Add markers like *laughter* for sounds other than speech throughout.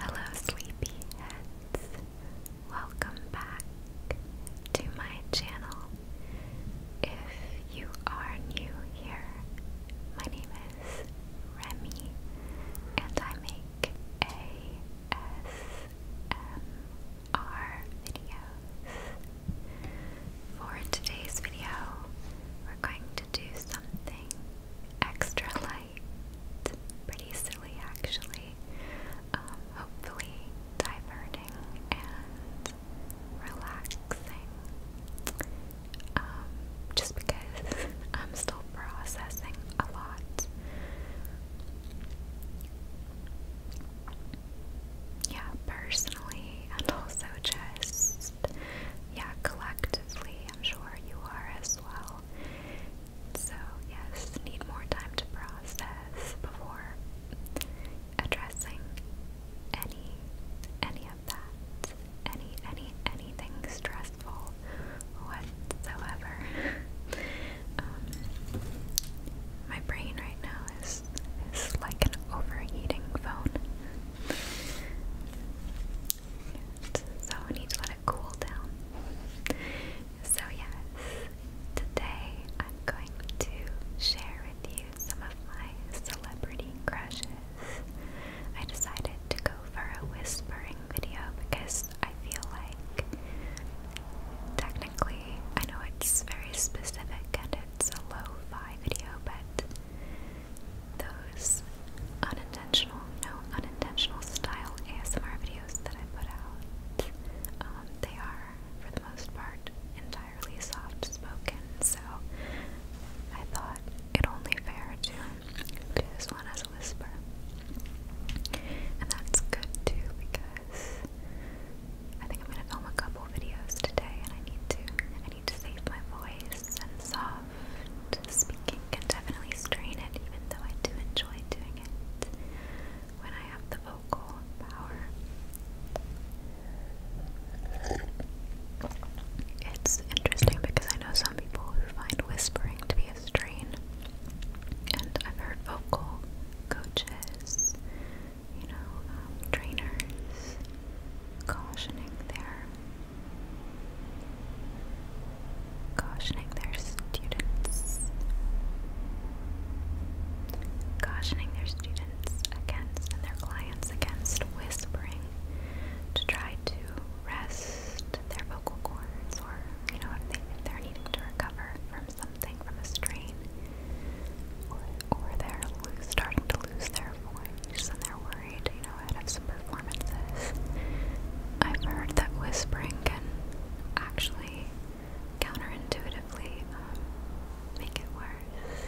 Hello, sleepyheads. Welcome back to my channel. If you are new here, my name is Remy, and I make ASMR videos. For today's video, we're going to do something extra light light. Pretty silly, actually. Um, hopefully, diverting and relaxing. Um, just because *laughs* I'm still processing a lot. Yeah, personally, and also just, yeah, collectively, I'm sure you are as well. So, yes, need more time to process before addressing any any of that. Any any anything stressful whatsoever. *laughs* Um, my brain right now is is like an overheating phone. So it needs to let it cool down. So yes, today I'm going to share with you some of my celebrity crushes. I decided to go for a whispering video because I feel like technically I know it's very specific and it's a low fi video, but those unintentional, no unintentional style ASMR videos that I put out. Um, they are, for the most part, entirely soft spoken, so I thought it only fair to do this one as a whisper. And that's good too because I think I'm gonna film a couple videos today and I need to I need to save my voice and soft speaking can definitely strain it, even though I do enjoy doing it when I have the vocal power. It's interesting because I know some people who find whispering to be a strain, and I've heard vocal coaches, you know, um, trainers cautioning there. Cautioning their students. Cautioning their students against their clients against whispering to try to rest their vocal cords or, you know, if, they, are needing to recover from something, from a strain, or, they're starting to lose their voice and they're worried Bernardino out of some performances. I've heard that whispering can actually counterintuitively um, make it worse.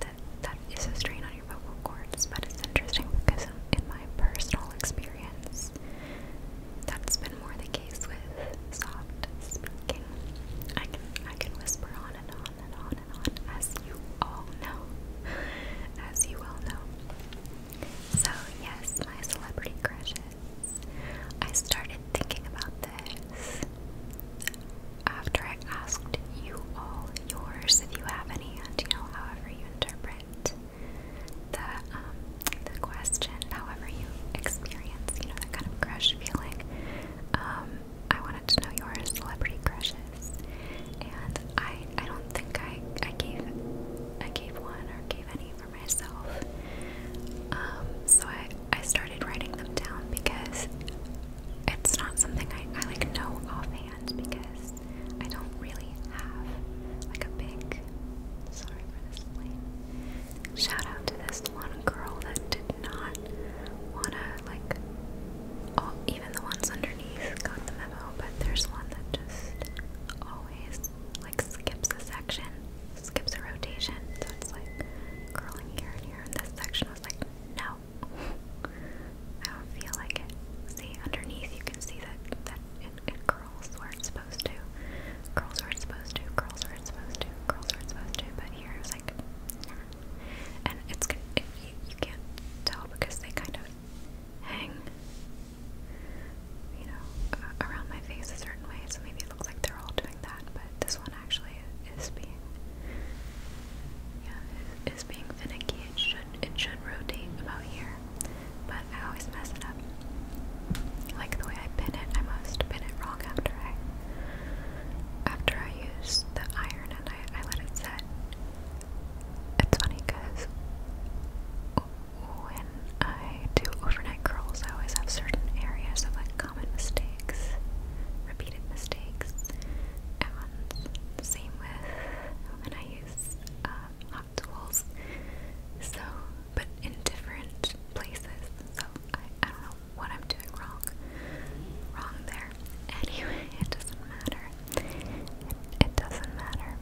That that is a strain on your vocal cords, but it's interesting because in, in my personal experience, that's been more the case with soft speaking. I can I can whisper on and on and on and on, as you all know, as you all know. So, yes, my celebrity crushes. I started thinking about this after I asked you all yours if you have any, and you know, however you interpret the um, the question, however you experience, you know, that kind of crush feeling. Um, I wanted to know your celebrity crushes, and I I don't think I I gave I gave one or gave any for myself. Um, so I I started writing them down because it's not something I, I like know offhand because I don't really have like a big sorry for this plane. Shout out to this one girl that did not wanna like all even the ones underneath got the memo, but there's one that just always like skips a section, skips a rotation. So it's like curling here and here. And this section was like, no, *laughs* I don't feel like it. See, underneath you can see that that it, it curls where it's supposed to, curls where it's supposed to, curls where it's supposed to, curls where it's supposed to. But here it's like, and it's it, you, you can't tell because they kind of hang you know, around my face a certain way, so maybe it looks like they're all doing that, but this one actually is being, yeah, is being finicky. It should, it should rotate about here, but I always mess it up. Like the way I pin it, I must pin it wrong after I, after I use the iron and I, I let it set. It's funny because when I do overnight curls, I always have certain areas of like common mistakes, repeated mistakes, and same with when I use um, hot tools. So, but in different places. So I, I don't know what I'm doing wrong, wrong there. *laughs* Anyway, it doesn't matter. it doesn't matter.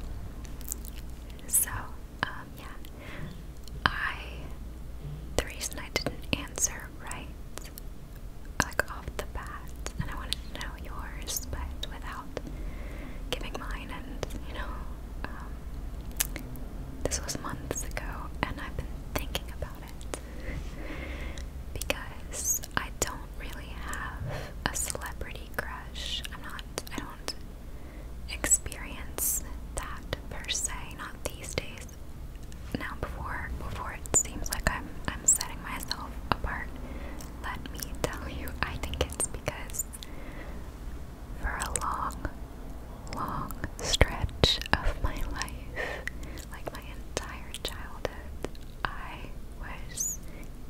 So um, yeah. I, the reason I didn't answer right, like off the bat, and I wanted to know yours, but without giving mine, and you know, um, this was months ago, and I've been thinking about it because I don't really have a celebrity crush. I'm not, I don't experience that per se, not these days. Now before before it seems like I'm I'm setting myself apart, let me tell you, I think it's because for a long, long stretch of my life, like my entire childhood, I was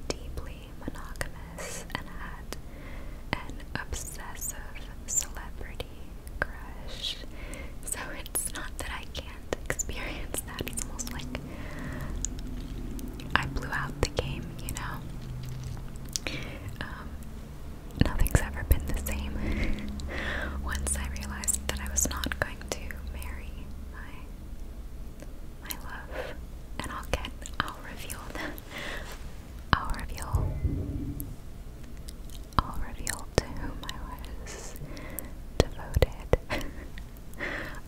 deeply monogamous and had an obsessive celebrity crush. So it's not that I can't experience that. It's almost like I blew out the game, you know? Um, nothing's ever been the same. *laughs* Once I realized that I was not going to marry my my love, and I'll get I'll reveal the I'll reveal. I'll reveal to whom I was devoted. *laughs*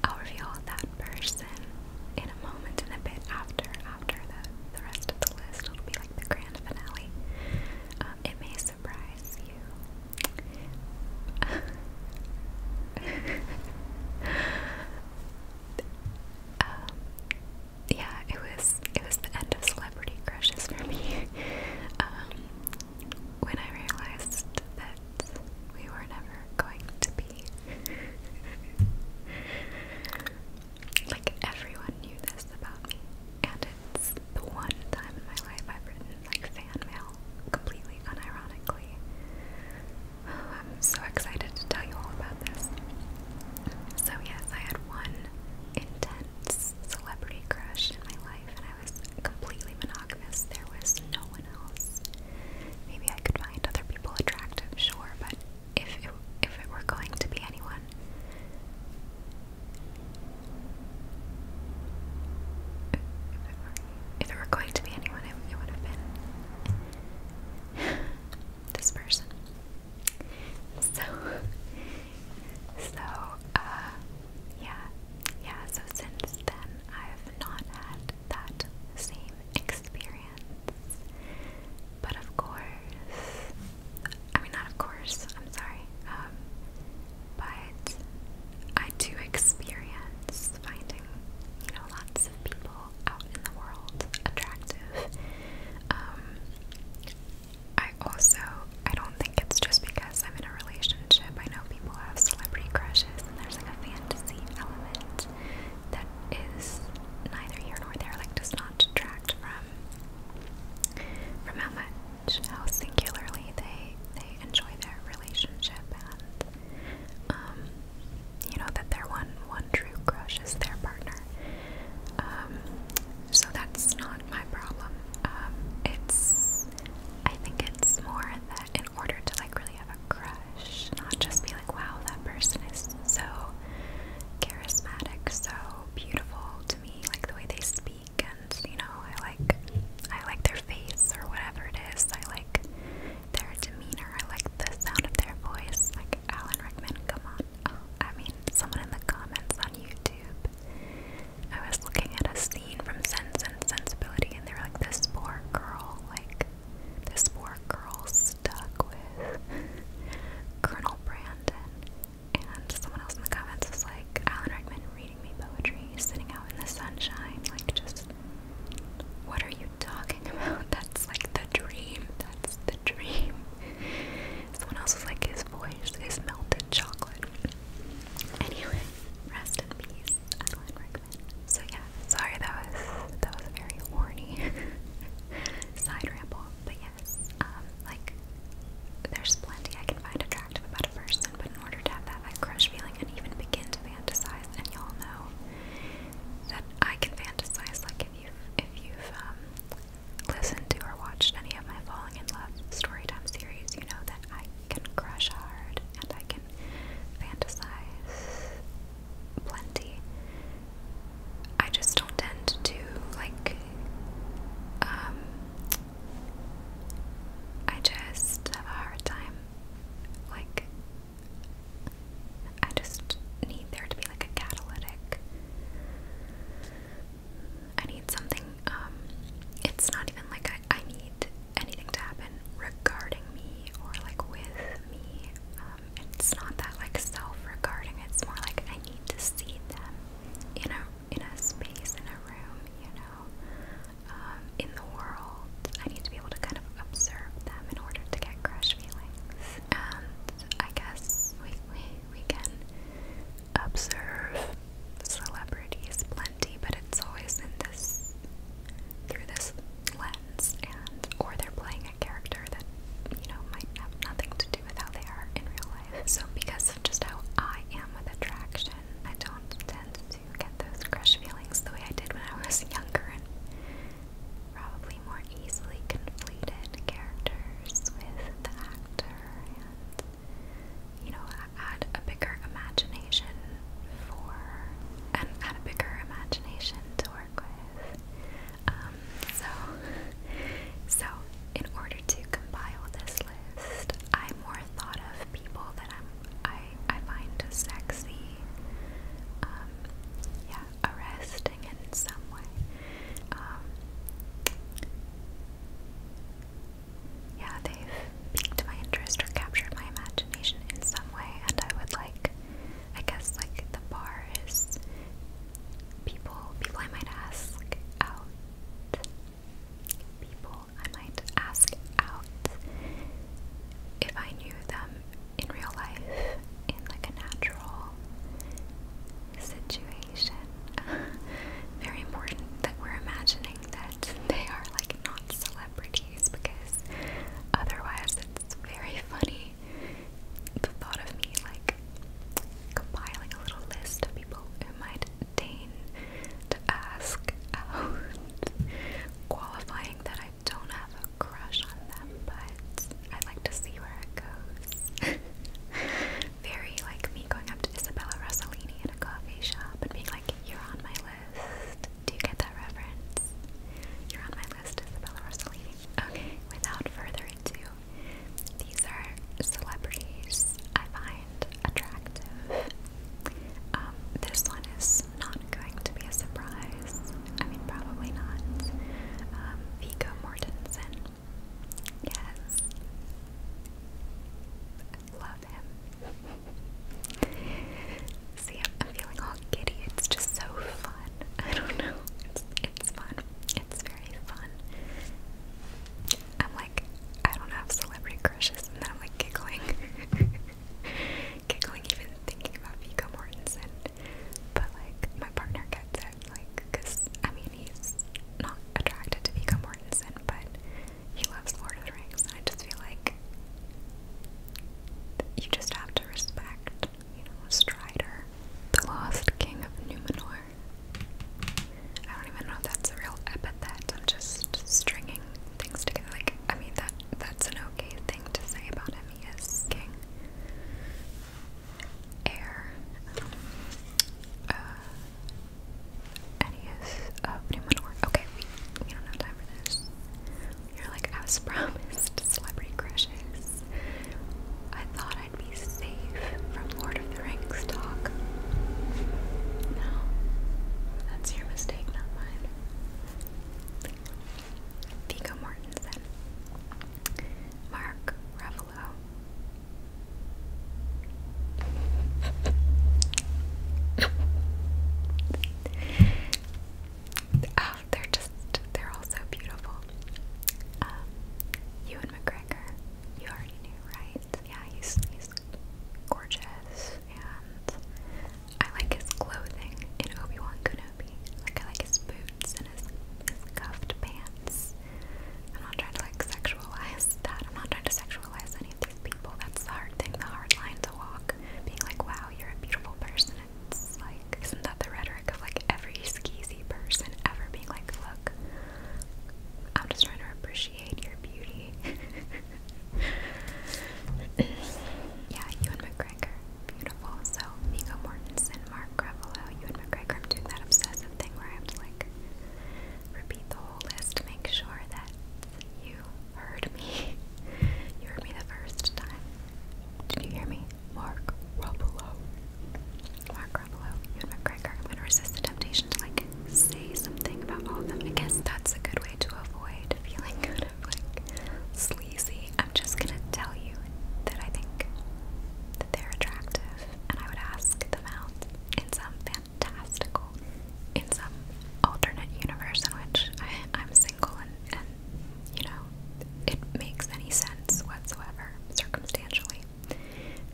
I'll reveal that person in a moment and a bit after after the, the rest of the list. It'll be like the grand finale. Um, it may surprise you. *laughs* Um, yeah, it was it was the end of celebrity crushes for me. *laughs* Um, when I realized that we were never going to be. *laughs* like everyone knew this about me, and it's the one time in my life I've written like fan mail completely unironically. I'm so excited to tell you all about this. So, yes, I had one intense celebrity crush in my life, and I was completely monogamous. There was no one else. Maybe I could find other people attractive, sure, but if if it were going to be anyone, if it were, going to be anyone, it would have been this person. So, so, uh, yeah, yeah, so since then I've not had that same experience. But of course, I mean, not of course, I'm sorry, um, but I do experience finding, you know, lots of people out in the world, attractive. Um, I also, I don't think it's just because I'm in a relationship. I know people have celebrity crushes, and there's like a fantasy element that is neither here nor there, like does not detract from from how much, how singularly they they enjoy their relationship and um, you know that their one one true crush is their partner. Um, so that's not my problem. Um, it's I think it's more that in order to like really have a crush, not just be like, wow, that person is so charismatic, so beautiful to me, like the way they speak, and you know, I like I like their face or whatever it is. I like their demeanor. I like the sound of their voice. Like Alan Rickman, come on oh, I mean, someone in the comments on YouTube. I was looking at a scene from Sense and Sensibility, and they were like, "This poor girl, like, this poor girl stuck with Colonel Brandon." And someone else in the comments was like, "Alan Rickman reading me poetry, sitting out in the sunshine, like, just what are you talking *laughs* about? That's like the dream. That's the dream. Someone else was like, his voice is melted chocolate. Anyway, rest in peace, Adeline So yeah, sorry that was that was very horny *laughs* side ramble. But yes, um, like there's plenty I can find attractive about a person, but in order to have that crush feeling and even begin to fantasize, and y'all know that I can fantasize like if you if you've um, listened to or watched any of my Falling in Love storytime series, you know that I can crush hard and I can fantasize plenty. I just don't tend to, like, um, I just have a hard time, like, I just need there to be like a catalytic. I need something, um, it's not even like I, I need anything to happen regarding me or like with me. Um, it's not that like self-regarding, it's more like I need to see them in a, in a space, in a room, you know, um, in the world. I need to be able to kind of observe them in order to get crush feelings. I guess we, we, we can observe celebrities plenty, but it's always in this through this lens and or they're playing a character that, you know, might have nothing to do with how they are in real life. So because of just how I am with attraction, I don't tend to get those crush feelings the way I did when I was younger and probably more easily conflated characters with the actor and, you know, add a bigger imagination for, and add a bigger imagination to work with. Um, so, so in order to compile this list, I more thought of people that I'm, I, I find sexy. Um, yeah, arrest in some way. Um, yeah, they've piqued my interest or captured my imagination in some way, and I would like, I guess, like the bar is people, people I might ask out, people I might ask out if I knew them in real life in like a natural situation. *laughs* Very important that we're imagining that they are like not celebrities because otherwise it's very funny the thought of me like compiling a little list of people who might deign to ask out, *laughs* qualifying that I don't have a crush on them but I'd like to see where it goes. *laughs* Very like me going up to Isabella Rossellini at a coffee shop and being like, You're on my list. Do you get that reference? You're on my list, Isabella Rossellini. Okay, without further ado, these are celebrities I find attractive. Um, this one is not going to be a surprise. I mean, probably not. Um, Mortensen. Yes. love him. See, I'm, feeling all giddy. It's just so fun. I don't know. It's, it's fun. It's very fun. I'm like, I don't have celebrity crushes, and then I'm like giggling. *laughs* giggling even thinking about Vigo Mortensen. But like my partner gets it, like, cause I mean he's not attracted to Viggo Mortensen, but he loves Lord Rings, and I just feel like you just have to respect, you know, Strider, the lost king of Numenor. I don't even know if that's a real epithet. I'm just stringing things together. Like, I mean that that's an okay thing to say about him. He is king air uh, Adios uh, Okay, we, don't have time for this. You're like, as *laughs* promised, celebrity crushes. I thought I'd be safe from Lord of the Rings talk. No, that's your mistake, not mine. Vigo Mortensen, Mark Ruffalo, oh, they're just, they're all so beautiful. Um, Ewan McGregor, you already knew, right? Yeah, he's, he's gorgeous, and I like his clothing in Obi-Wan Kenobi. Like, I like his boots cuffed pants. I'm not trying to like sexualize that. I'm not trying to sexualize any of these people. That's hard thing, the hard line to walk. Being like, wow, you're a beautiful person. It's like, isn't that the rhetoric of like every skeezy person ever being like, look, I'm just trying to appreciate your beauty. *laughs* yeah, you and McGregor, beautiful. So Vigo Mortensen Mark Ruffalo, you and McGregor. doing that obsessive thing where I have to like repeat the whole list to make sure that you heard me. *laughs* you heard me the first time. Did you hear me? Mark Ruffalo. Mark Ruffalo, you and McGregor. I'm gonna resist the temptation to like say something about all of them. I guess that's a good way to avoid feeling *laughs* like sleazy. I'm just gonna tell you that I think that they're attractive and I would ask them out in some fantastical, in some alternate universe in which I, am single and, you know, it makes any sense whatsoever, circumstantially.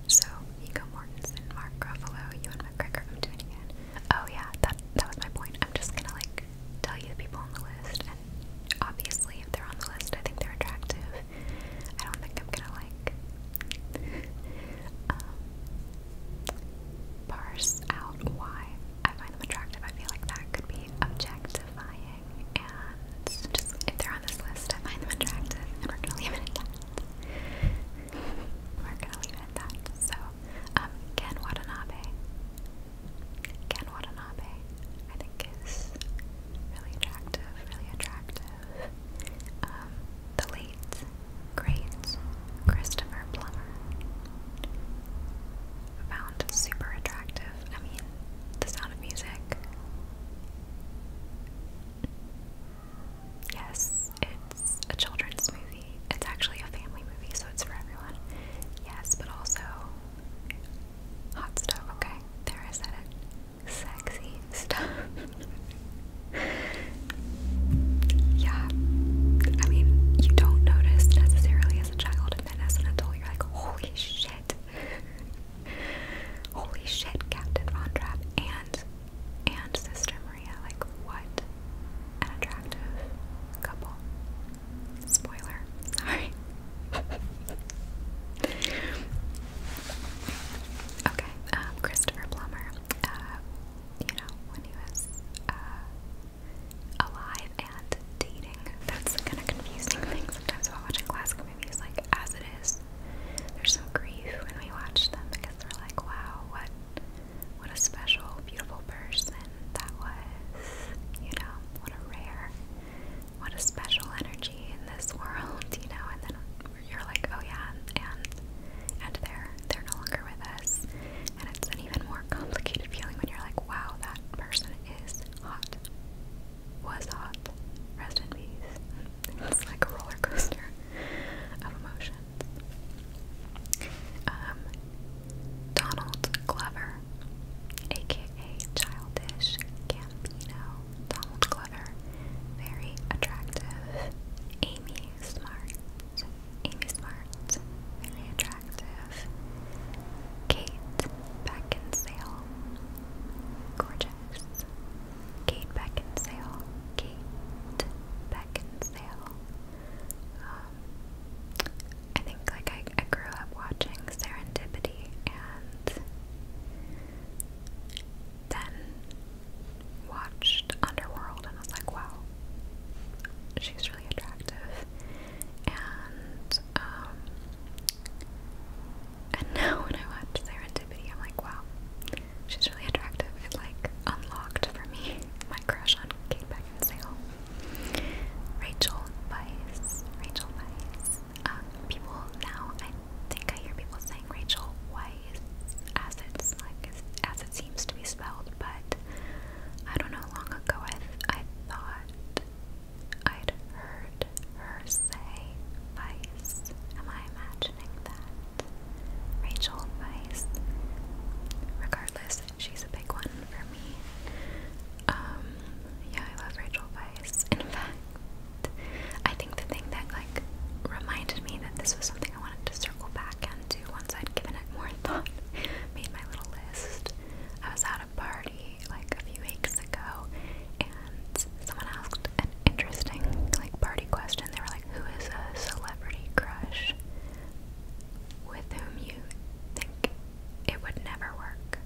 So, Nico Mortensen, Mark Ruffalo, you my McGregor, I'm doing it again. Oh yeah, that, that was my point. I'm just gonna, like, tell you the people on the list, and obviously if they're on the list, I think they're attractive, I don't think I'm gonna like um, parse out why I find them attractive. I feel like that could be objectifying, and just if they're on this list, I find them attractive, we're gonna leave it at that. we're gonna leave it at that. So, um, Ken Watanabe. Ken Watanabe, I think is really attractive, really attractive. Um, the late, great Christopher Plummer found super attractive. I mean, the sound of music. Yes, it's a children's movie. It's actually a family movie, so it's for everyone. Yes, but also hot stuff. Okay, there I said it sexy stuff. *laughs* yeah. I mean, you don't notice necessarily as a child, and then as an adult, you're like, holy shit. *laughs* holy shit, Captain Von Trapp and and Sister Maria. Like, what an attractive couple. Spoiler, *laughs* sorry. Okay, um, Christopher Plummer, uh, you know, when he was uh, alive and dating, that's kind of confusing thing sometimes while watching classic movies, like, as it is, there's some grief when we watch them because we're like, wow, what, what a special, beautiful person that was, you know, what a rare what a special energy in this world, you know, and then you're like, oh yeah, and and they're they're no longer with us. And it's an even more complicated feeling when you're like, wow, that person is hot. Was hot. Rest in peace. *laughs* It's like a roller coaster of emotions. Um, Donald Glover, aka Childish Gambino, Donald Glover, very attractive. Amy Smart, Amy Smart, very attractive. Kate Beckinsale, gorgeous. Kate Beckinsale, Kate Beckinsale. Um, I think like I, I grew up watching Serendipity and then watched Underworld and I was like, wow, she's really attractive. And um *laughs* and now when I watch Serendipity, I'm like, wow, she's really attractive. It like unlocked for me *laughs* my crush on Kate Beckinsale. Rachel Weisz. Rachel Weisz. Um, people now think I hear people saying Rachel Weisz as as it seems to be spelled, but I don't know. Long ago, I thought I'd heard her say Weiss. Am I imagining that? Rachel Weiss. Regardless, she's a big one for me. Um, yeah, I love Rachel Weiss. In fact, I think the thing that like reminded me that this was something I wanted to circle back and do once I'd given it more *laughs* thought, made my little list. I was at a party like a few weeks ago and someone asked an interesting like party question. They were like, Who is a celebrity crush with whom you think it would never work?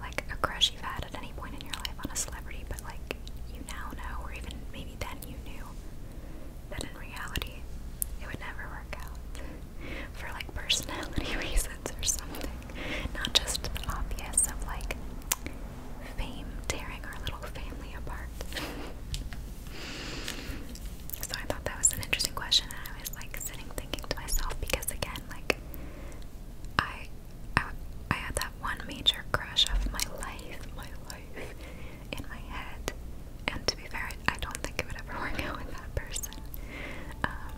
Like a crush you've had at any point in your life on a celebrity, but like you now know, or even maybe then you knew that in reality it would never work out for like personality *laughs* reasons or something. Not just the obvious of like fame tearing our little family apart. so I thought that was an interesting question, and I was like sitting thinking to myself because again, like I I, had that one major crush of my life, my life, in my head. And to be fair, I don't think it would ever *laughs* work out with that person. Um,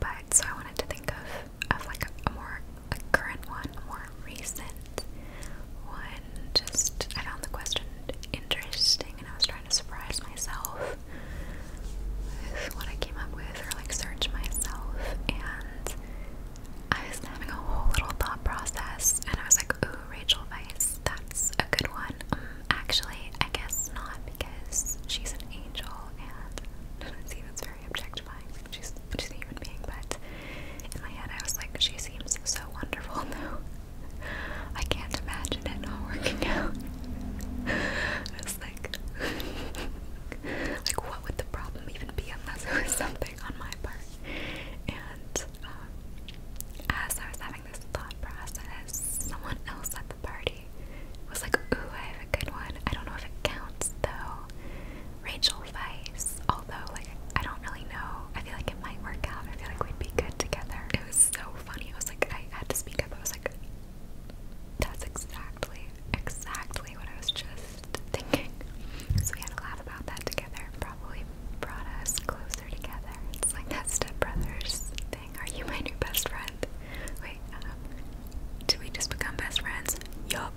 but so I wanted to think of of like a, more like current one, more recent one. Just I found the question interesting, and I was trying to surprise myself with what I came up with, or like search myself. And I was having a whole little thought process, and I was like, ooh, Rachel Weisz, that's a good one. Um, actually, I guess not because she's an angel and *laughs* see that's very objectifying. She's she's a human being, but in my head I was like, she seems so wonderful *laughs* though. I can't imagine it not working out. *laughs* I was like like what would the problem even be unless it was something on my part? And um, as I was having this thought process, someone else at the party was like, "Ooh, I have a good one. I don't know if it counts though." Rachel Weiss, although like I don't really know. I feel like it might work out. I feel like we'd be good together. It was so funny. I was like, I had to speak up. I was like, "That's exactly exactly what I was just thinking. So we had a laugh about that together. Probably brought us closer together. It's like that stepbrothers thing. Are you my new best friend? Wait, um, did we just become best friends? Yup.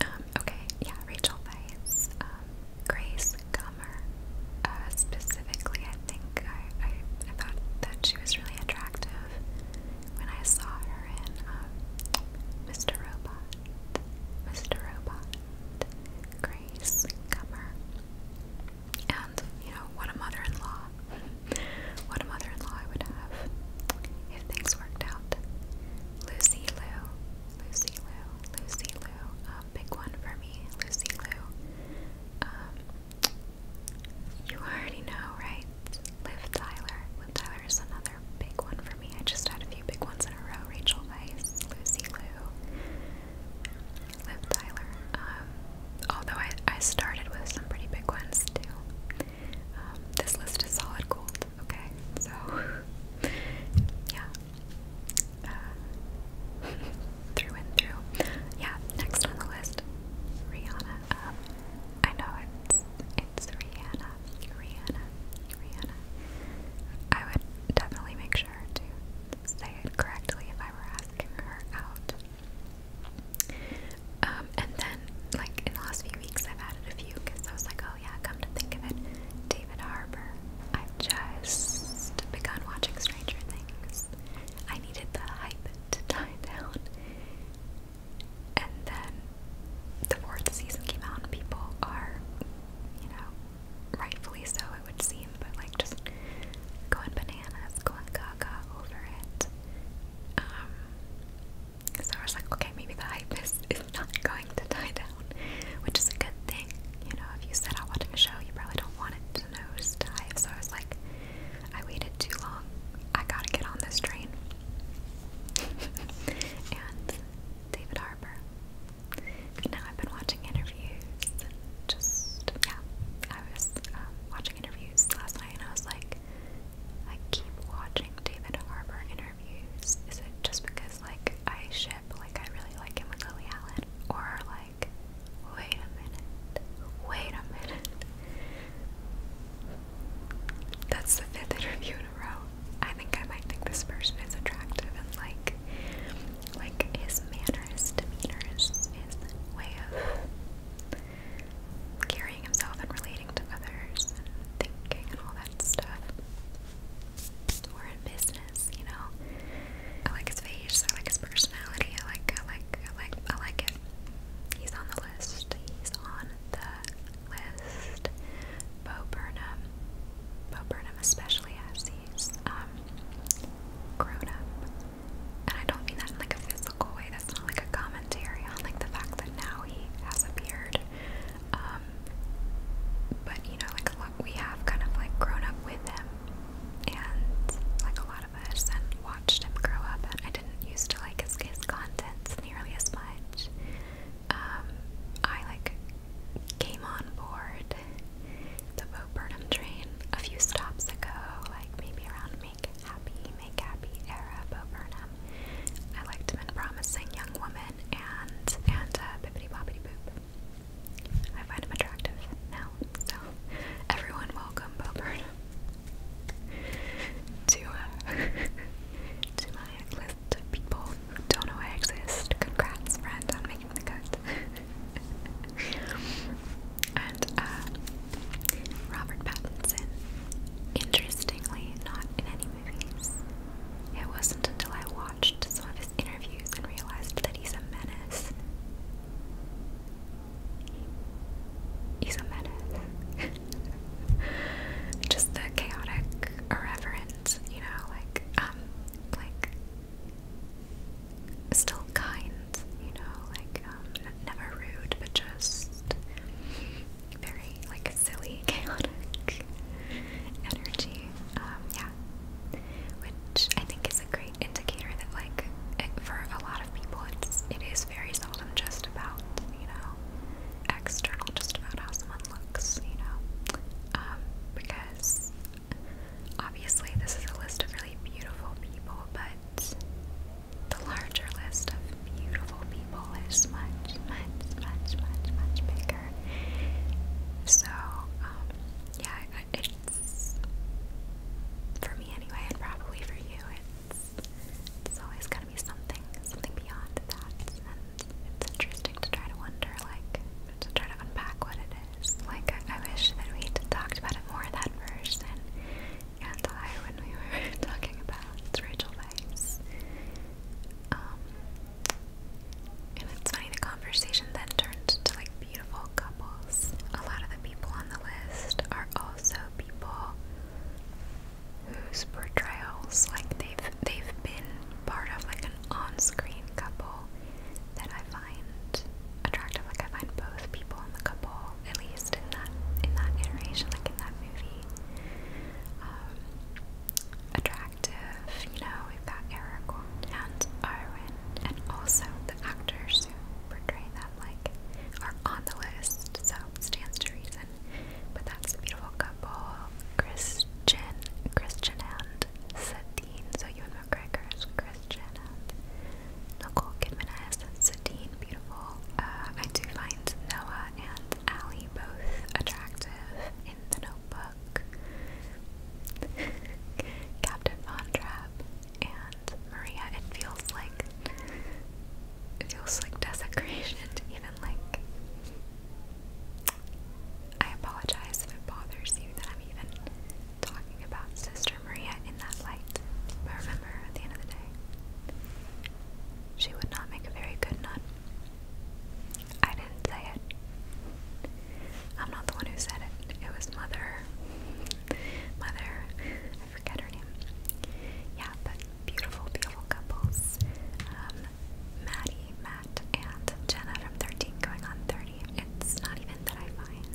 Um, okay, yeah, Rachel Weiss, um, Grace Gummer. Uh, specifically, I think I, I thought that she was really attractive when I saw her in Mr. Um, Robot, Mr. Robot, Grace Gummer, and you know what a mother-in-law, *laughs* what a mother-in-law I would have if things worked out. Lucy Lou, Lucy Lou, Lucy Lou, um, big one for me, Lucy Lou. Um, you already know, right? Liv Tyler. Liv Tyler is another big one for me. I just had a few big ones in a row. Rachel Weisz, Lucy Liu, Liv Tyler. Um, although I, I started with some pretty big ones too. Um, this list is solid gold, okay? So, *laughs* yeah. Uh, *laughs* through and through. Yeah, next on the list, Rihanna. Um, I know it's it's Rihanna, Rihanna, Rihanna. I would definitely make sure to say it correctly if I were asking her out. Um, and then, like in the last few weeks, I've added a few because I was like, oh yeah, come to think of it, David Harbour. I've just begun watching Stranger Things. I needed the hype to die down and then the fourth season came out, and people are, you know, rightfully so, it would seem, but like just going bananas, going gaga over it. Um, so I was like, okay, maybe the hype is, is not *laughs* going to die down, which is a good thing. You know, if you set out watching a show, you probably don't want it to nose dive. So I was like, I waited too long. I gotta get on this train. *laughs* and David Harbour. Now I've been watching interviews. Just yeah, I was um, watching interviews last night, and I was like, I keep watching David Harbour interviews. Is it just because like I ship, like I really like him with Lily Allen, or like, wait a minute, wait a minute, that's the fifth interview in a row. I think I might think this person is attractive and like like his manner, his demeanor, his, his way of carrying himself and relating to others and thinking and all that stuff. We're in business, you know. I like his face, I like his personality, I like I like I like I like it. He's on the list. He's on the list. Bo Burnham. Bo Burnham especially has these um grown up. And I don't mean that in like a physical way. That's not like a commentary on like the fact that now he has a beard. Um but you know, like a lot we have kind of like grown up with him and like a lot of us and watched him grow up and I used to like his, his contents nearly as much. Um, I like came on board the Bo Burnham train a few stops ago, like maybe around Make Happy, Make Happy era Bo Burnham. I liked him in Promising Young Woman and and Bippity Boppity Boop. I find him attractive now, so everyone welcome Bo Burnham to, uh, *laughs* to my list of people who don't know I exist. Congrats, friend, on making the cut. *laughs* and uh, Robert Pattinson, interestingly, not in any movies. It wasn't until I watched some of his interviews and realized that he's a menace. He's a menace. *laughs* *laughs* just the chaotic irreverence, you know, like um like still kind, you know, like um never rude but just very like silly, *laughs* chaotic energy. Um yeah. Which I think is a great indicator that like it, for a lot of people it's it is very seldom just about, you know, external, just about how someone looks, you know, um, because obviously this is a list of really beautiful people, but the larger list of beautiful people is much, much, much, much, much bigger. So, um, yeah, it's for me anyway, and probably for you, it's it's always gotta be something, something beyond that. And it's interesting to try to wonder, like, to try to unpack what it is. Like, I, I wish that we'd talked about it more that first. And, and I, when we *laughs* were talking about Rachel Weisz, um, and it's funny, the conversation then turned to like beautiful couples. A lot of the people on the list are also people whose portrayals like they've they've been part of like an on-screen couple that I find attractive. Like I find both people in the couple, at least in that in that iteration, like in that movie, um, attractive. You know, we've got Eric and Arwen, and also the actors who portray them like are on the list, so it stands to reason but that's a beautiful couple. Christian Christian and Satine. So you and McGregor is Christian and Nicole Kidman as Satine. Beautiful. Uh, I do find Noah and Ali both attractive in the notebook. *laughs* Captain Von Trapp and Maria, it feels like it feels like desecration even like I apologize if it bothers you that I'm even talking about Sister Maria in that light. But remember, at the end of the day, she would not make a very good nun. I didn't say it. I'm not the one who said it. It was Mother. Mother. I forget her name. Yeah, but beautiful, beautiful couples. Um, Maddie, Matt, and Jenna from 13 going on 30. It's not even that I find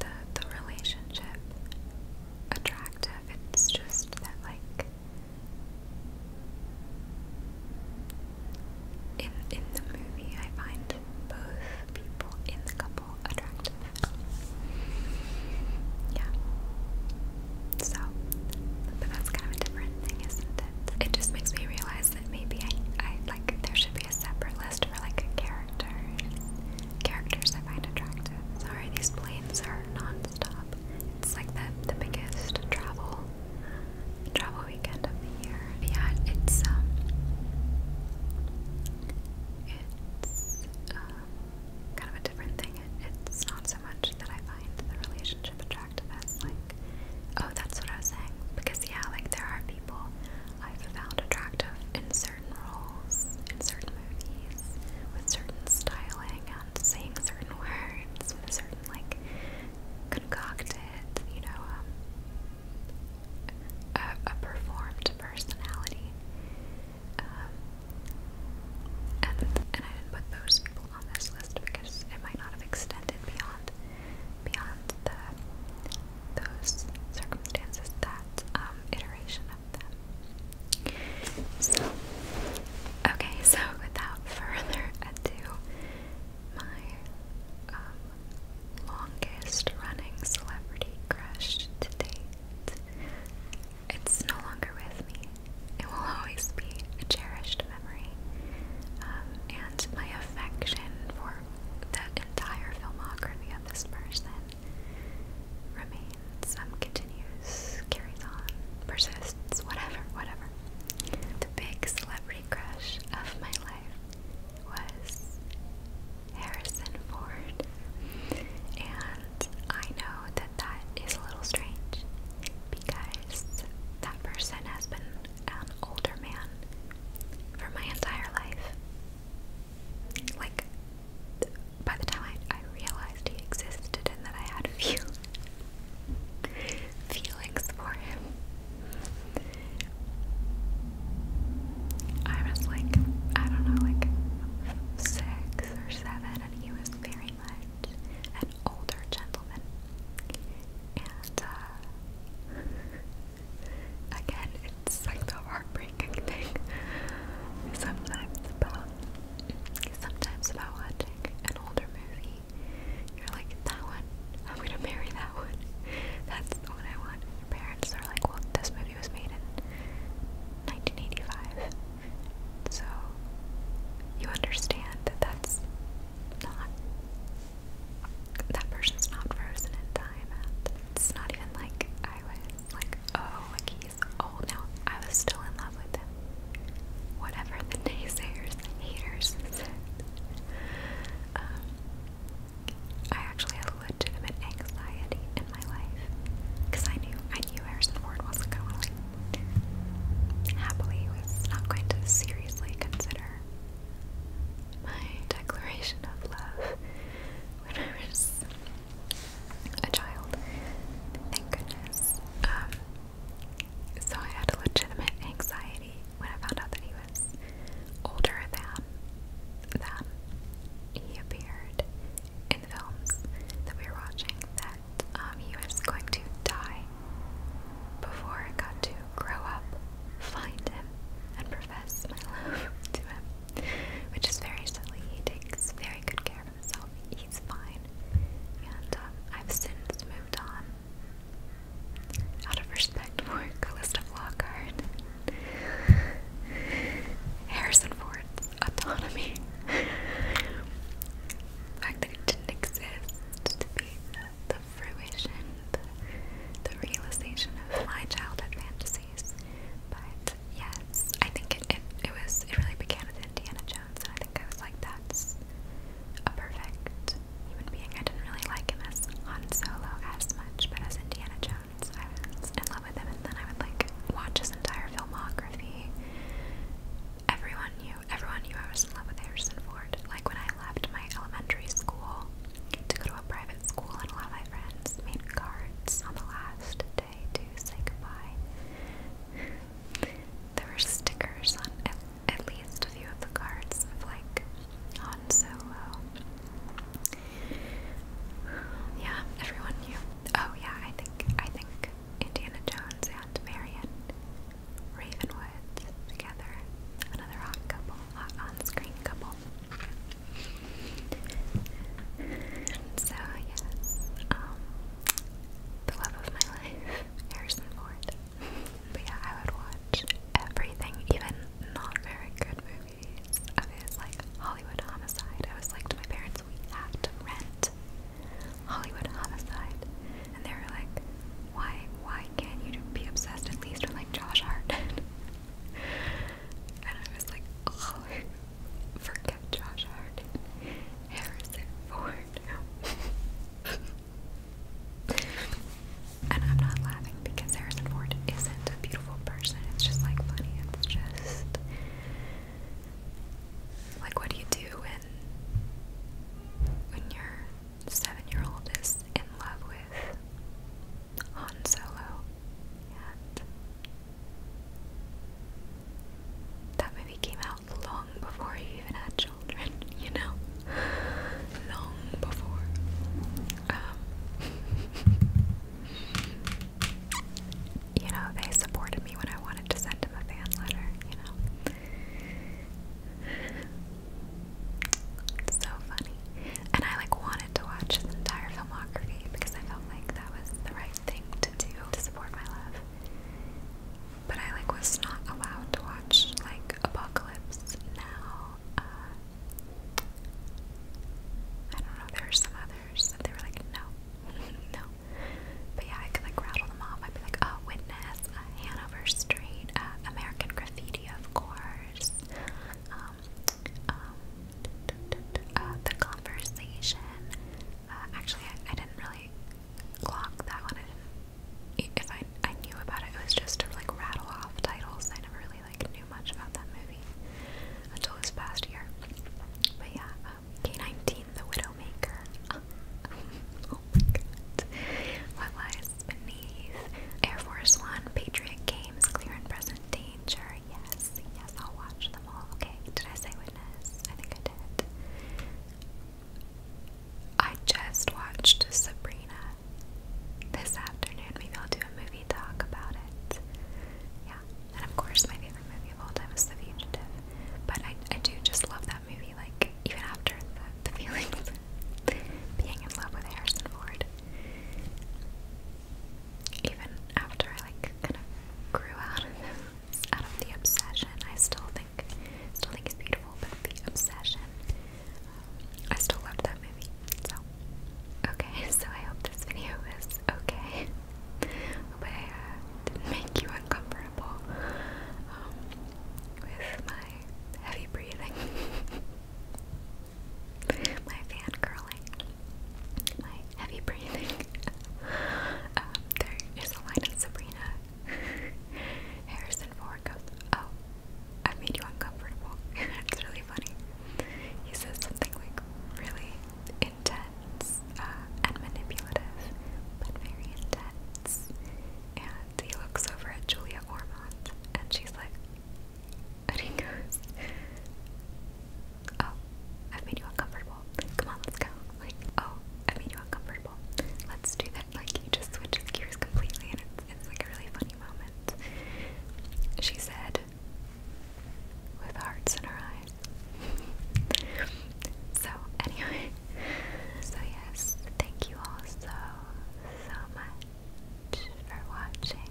the the relationship attractive. It's just that like in in the movie I find both people in the couple attractive. Yeah. So, but that's kind of a different thing, isn't it? It just makes me realize that maybe I, I like there should be a separate list for like characters, characters I find attractive. Sorry, these planes are non-stop. It's like the the biggest travel travel weekend of the year. yeah, it's um, it's. Uh, um, kind of a different thing. It, it's not so much that I find the relationship attractive as like, oh, that's what I was saying. Because yeah, like there are people I've found attractive in certain roles, in certain movies, with certain styling and saying certain words, with a certain like concocted, you know, um, a, a performed personality. Um, and, and I didn't put those people on this list because it might not have extended beyond beyond the those circumstances that um, iteration of them. So okay, so without *laughs* further ado, my um, longest running celebrity crush to date it's no longer with me. It will always be a cherished memory. Um, and my affection for that entire filmography of this person remains, um, continues, carries on, persists, whatever, whatever. The big celebrity crush of my life was Harrison Ford. And I know that that is a little strange because that person has been an older man for my entire life. Like, by the time I, I realized he existed and that I had few *laughs* feelings for him, I was like, I don't know, like six or seven, and he was very much older gentlemen, And uh, again, it's like the heartbreaking thing sometimes about sometimes about watching an older movie. You're like, that one, I'm gonna marry that one. That's the one I want. Your parents are like, well, this movie was made in 1985. So you understand that that's not, that person's not frozen in time. And it's not even like I was like, oh, like he's old now. I was still in love with him. Whatever the *laughs* naysayers, haters Um, I actually had legitimate anxiety in my life because I knew I knew Harrison Ford wasn't gonna like Happily was not going to seriously consider my declaration of love when I was a child. Thank goodness. Um, so I had legitimate anxiety when I found out that he was older than than he appeared in the films that we were watching. That um, he was going to die before I got to grow up, find him, and profess my *laughs* love to him, which is very silly. He takes very good care of himself. He's fine, and um, I've since moved on out of respect for Callista Flockhart, Harrison Ford's autonomy. *laughs* Back there didn't exist to be the fruition, the, realization of my childhood fantasies. But yes, I think it, it, was, it really began with Indiana Jones, and I think I was like, that's a perfect human being. I didn't really like him as Han Solo as much, but as Indiana Jones, I was in love with him, and then I would like watch his entire filmography everyone knew everyone knew I was in love with Harrison Ford. Like when I left my elementary school to go to a private school and a lot of my friends made cards on the last day to say goodbye. *sighs* There were stickers on at, least a few of the cards of like Han so. *sighs* Yeah, everyone knew. Oh yeah, I think I think Indiana Jones and Marion Ravenwoods together. Another hot couple, hot on screen couple. And so, yes, um, the love of my *laughs* life, Harrison Ford. But yeah, I would watch everything, even not very good movies of his, like Hollywood Homicide. I was like to my parents, we have to rent Hollywood homicide, and they were like, "Why, why can't you be obsessed at least with like Josh Hartnett?" *laughs* and I was like, "Oh, forget Josh Hartnett, Harrison Ford." and I'm not laughing because Harrison Ford isn't a beautiful person. It's just like funny. It's just like what do you do when your seven year old is in love with Han Solo. And that movie came out long before you even had children, *laughs* you know? Long before. Um, *laughs* you know, they supported me when I wanted to send him a fan letter, you know? *laughs* so funny. And I like wanted to watch the entire filmography because I felt like that was the right thing to do to support my love. But I like was not allowed to watch like Apocalypse Now. Uh, I don't know, there were some others they were like, no, *laughs* no. But yeah, I could like rattle them off. I'd be like, oh, Witness, uh, Hanover Street, uh, American Graffiti, of course, um, um, uh, The Conversation. Uh, actually, I, I didn't really clock that one. I didn't, if I, I knew about it, it was just to like rattle off titles. I never really like knew much about that movie until this past year. But yeah, um, K-19, The Widowmaker. *laughs* Oh my beneath. Air Force One, Patriot Games, Clear and Present Danger. Yes, yes, I'll watch them all. Okay, did I say witness? I think I did. I just watched Sabrina this afternoon. Maybe I'll do a movie talk about it. Yeah, and of course, my favorite movie of all time is The Fugitive. But I, I do just love that that movie, like, even after the, feelings, being in love with Harrison Ford. Even after I, like, kind of grew out of the obsession, I still think, still think it's beautiful, but the obsession, um, I still love that movie, so. Okay, *laughs* so I hope this video is okay. Hope uh, make you uncomfortable horrible um, with my heavy breathing, *laughs* my fan curling, my heavy breathing. *laughs* Um, there is a line of Sabrina *laughs* Harrison Ford goes, "Oh, I made you uncomfortable." it's really funny. He says something like really intense uh, and manipulative, but very intense. And he looks over at Julia Ormond and she's like, and he goes, oh, I've made you uncomfortable. Come on, let's go. Like, oh, I made you uncomfortable. Let's do that. Like, he just switches gears completely and it's, it's like a really funny moment. She said, with hearts in her eyes. *laughs* so, anyway, so, yes, thank you all so, so much for watching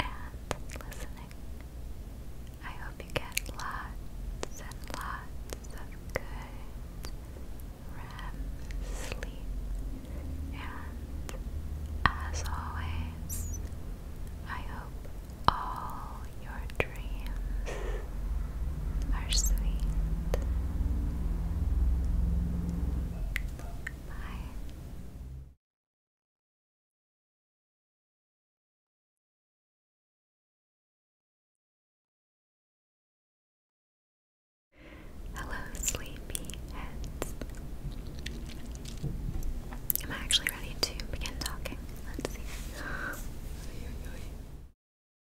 and listening. I hope you get lots and lots of good REM sleep. And as always, I hope all your dreams are sweet. Bye. Hello, sleepy heads. Am I actually ready to begin talking? Let's see. *gasps*